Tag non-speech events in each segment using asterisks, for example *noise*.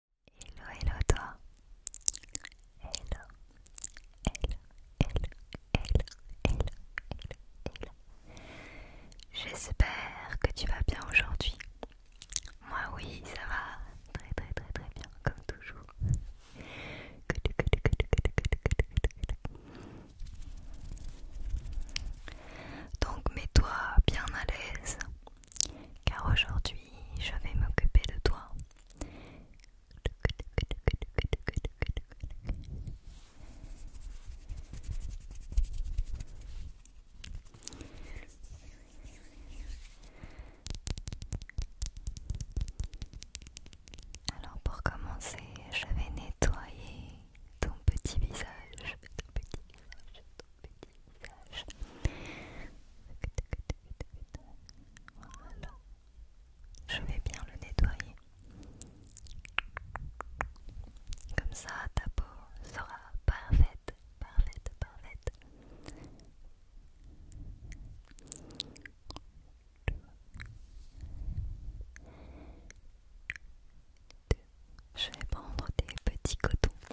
Hello, hello toi. Hello, hello, hello, hello, hello, hello, hello. J'espère que tu vas bien aujourd'hui. Moi oui, ça va très très très très bien, comme toujours. Donc mets-toi bien à l'aise car aujourd'hui je vais m'occuper de toi. Alors pour commencer, je vais nettoyer ton petit visage, je vais bien le nettoyer. Comme ça, ta peau sera parfaite, parfaite, parfaite. Je vais prendre des petits cotons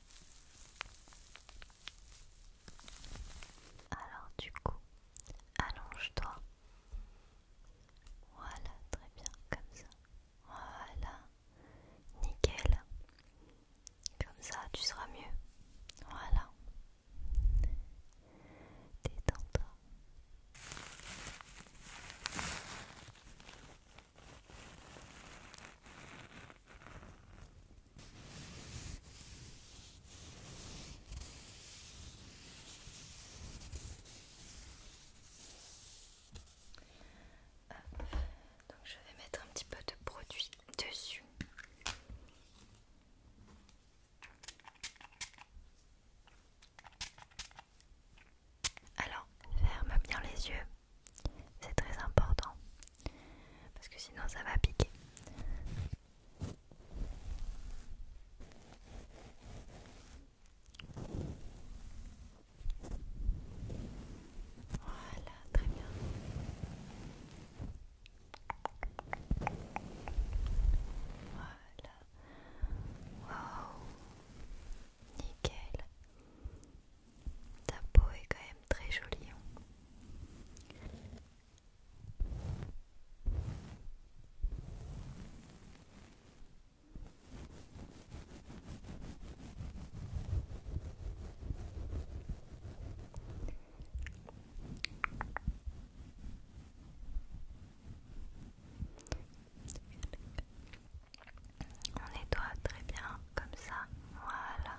Alors du coup, allonge-toi. Voilà, très bien, comme ça. Voilà, nickel. Comme ça, tu seras mieux. Voilà. Détends-toi. Donc je vais mettre un petit peu de produit dessus. Alors, ferme bien les yeux. C'est très important parce que sinon ça va piquer. Voilà, très bien. Voilà. Waouh. Nickel. Ta peau est quand même très jolie. Hein. On nettoie très bien comme ça. Voilà. Voilà.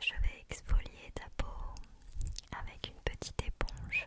je vais exfolier ta peau avec une petite éponge.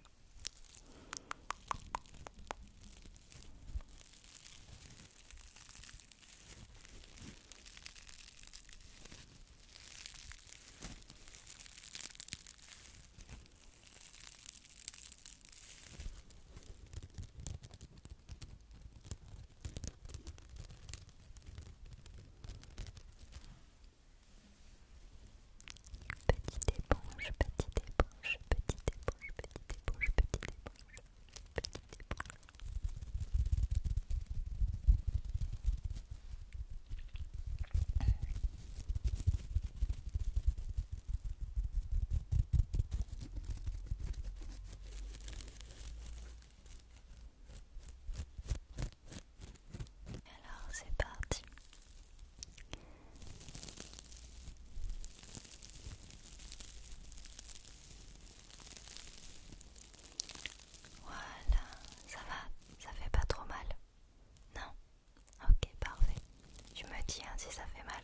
Petite éponge, petite éponge, petite éponge, petite éponge, petite éponge, petite éponge. Alors c'est parti. Voilà, ça va, ça fait pas trop mal. Non Ok, parfait. Tu me dis si ça fait mal.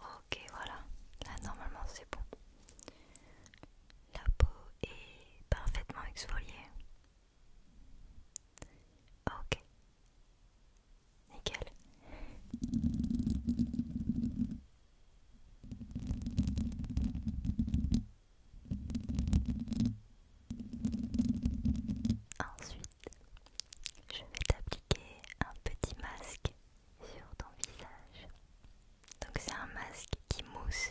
Ok, voilà. Là, normalement, c'est bon. La peau est parfaitement exfoliée. Ok. Nickel. Ensuite, je vais t'appliquer un petit masque sur ton visage. Donc c'est un masque qui mousse.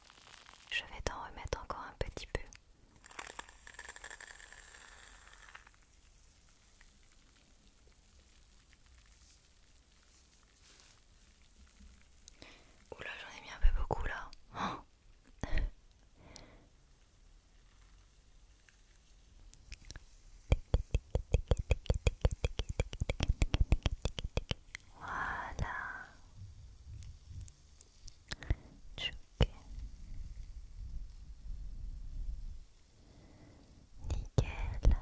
Je vais t'en remettre encore un petit peu. Oula, j'en ai mis un peu beaucoup là. *gasps* *laughs* Voilà. Nickel.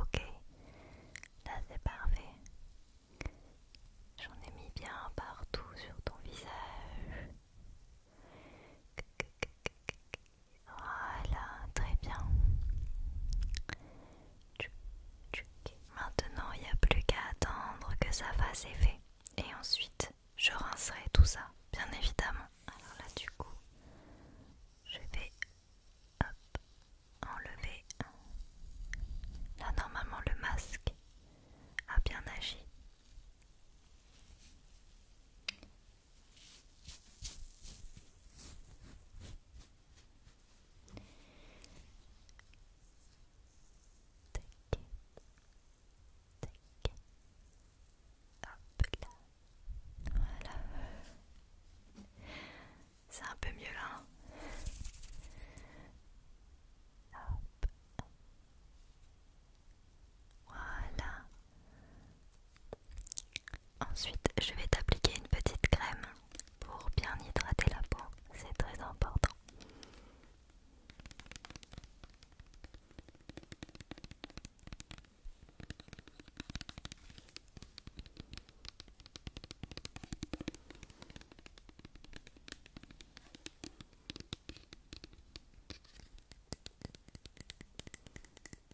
Ok, là c'est parfait. J'en ai mis bien partout sur ton visage. Voilà, très bien. Maintenant, il n'y a plus qu'à attendre que ça fasse effet. Et ensuite, je rincerai tout ça, bien évidemment. Alors là, du coup, je vais enlever. Là, normalement, le masque a bien agi. Hop là. Voilà. C'est un peu mieux là. Hein. Hop. Voilà. Ensuite, je vais t'appliquer une petite crème pour bien hydrater la peau. C'est très important. Alors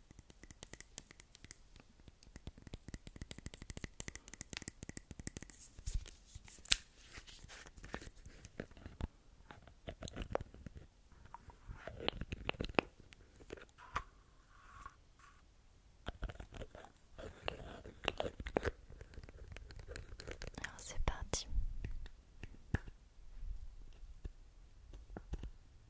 c'est parti.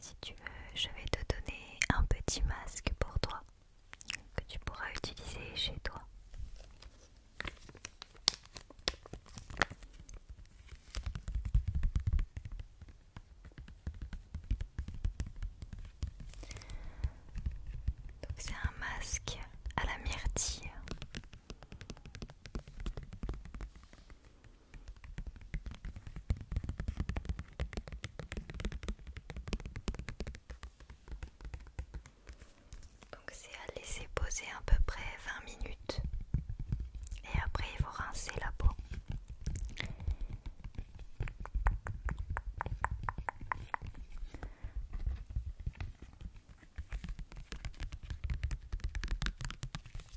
Si tu veux, je vais te donner un petit masque pour toi que tu pourras utiliser chez toi. Donc c'est un masque à la myrtille. Donc c'est à laisser poser à peu près 20 minutes et après il faut rincer la peau.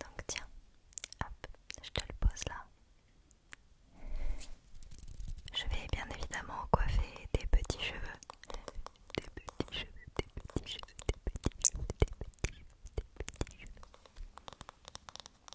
Donc tiens, hop, je te le pose là. Je vais bien évidemment coiffer tes petits cheveux. Des petits cheveux, des petits cheveux, des petits cheveux, des petits cheveux, des petits cheveux.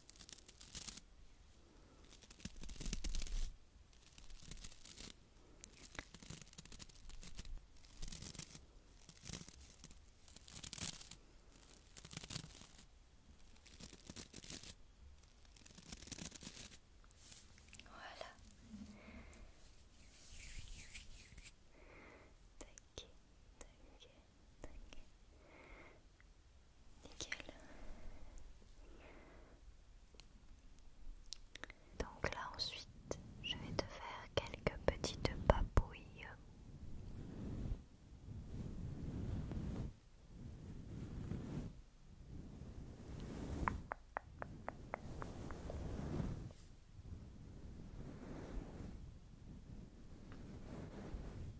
Voilà. taquet, taquet, donc là ensuite, je vais te faire quelques petites papouilles.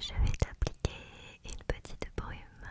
Je vais t'appliquer une petite brume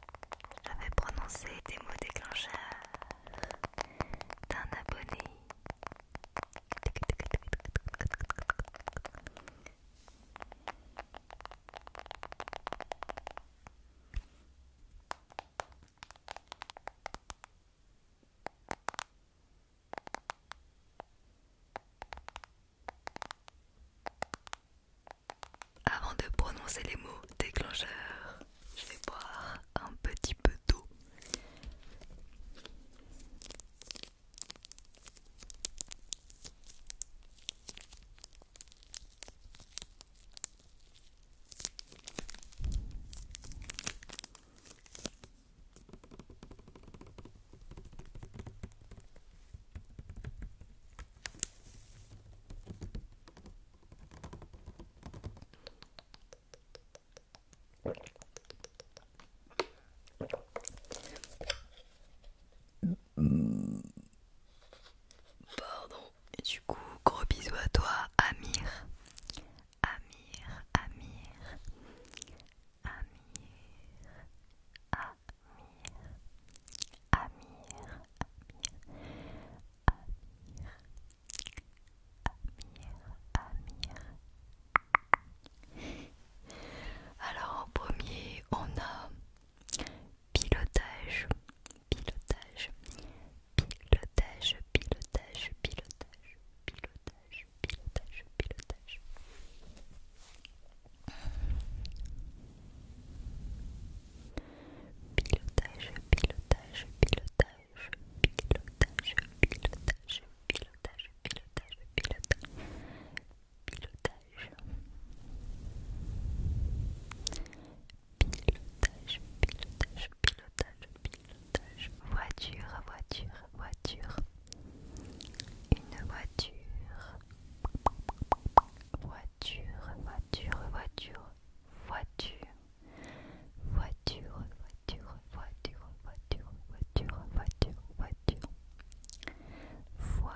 j'avais prononcé des mots déclencheurs d'un abonné. Avant de prononcer les mots déclencheurs, je vais boire un petit peu d'eau. Pardon. Et du coup, gros bisous à toi, Amir. Amir, Amir. Amir. Amir. Amir. Amir. Alors en premier, on a pilotage, pilotage, pilotage, pilotage, pilotage, pilotage, pilotage, pilotage pilotage, pilotage, pilotage, pilotage, pilotage, pilotage, pilotage, pilotage, pilotage, pilotage, pilotage, pilotage, pilotage, voiture, voiture, voiture, une voiture. Voiture, voiture, voiture, voiture, Voiture, voiture, voiture, voiture, voiture, voiture, voiture. Voiture. Voiture.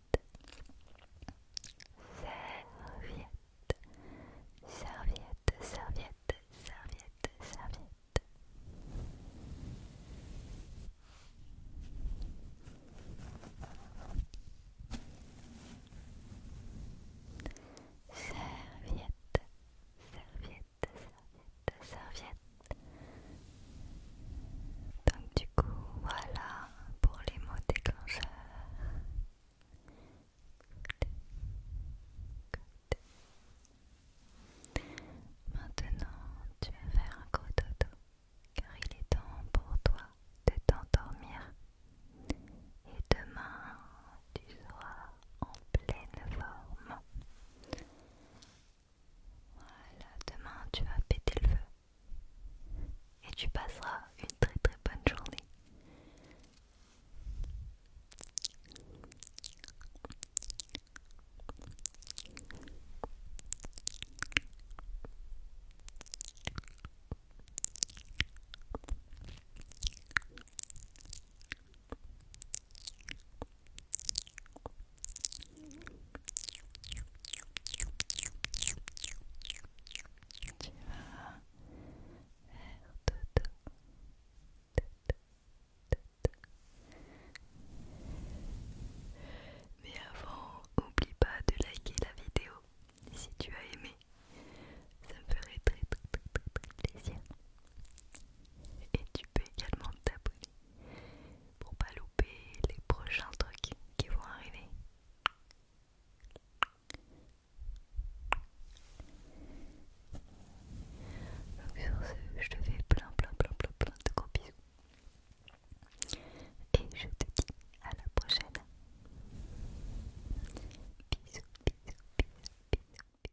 serviette, serviette, serviette, serviette, serviette. Serviette, serviette, serviette, serviette. Donc du coup, voilà, pour les mots déclencheurs. Maintenant, tu vas faire un gros dodo, car il est temps pour toi de t'endormir. Et demain, tu seras en pleine forme. Voilà, demain tu vas péter le feu et tu passeras une très très bonne journée. Tu vas faire Mais avant, n'oublie pas de liker la vidéo si tu as aimé. Ça me ferait très très très très, très plaisir. Et tu peux également t'abonner pour pas louper les prochains trucs qui vont arriver. Donc sur ce, je te fais plein plein plein plein plein de gros bisous. Et je te dis à la prochaine. Bisous, bisous, bisous, bisous, bisous.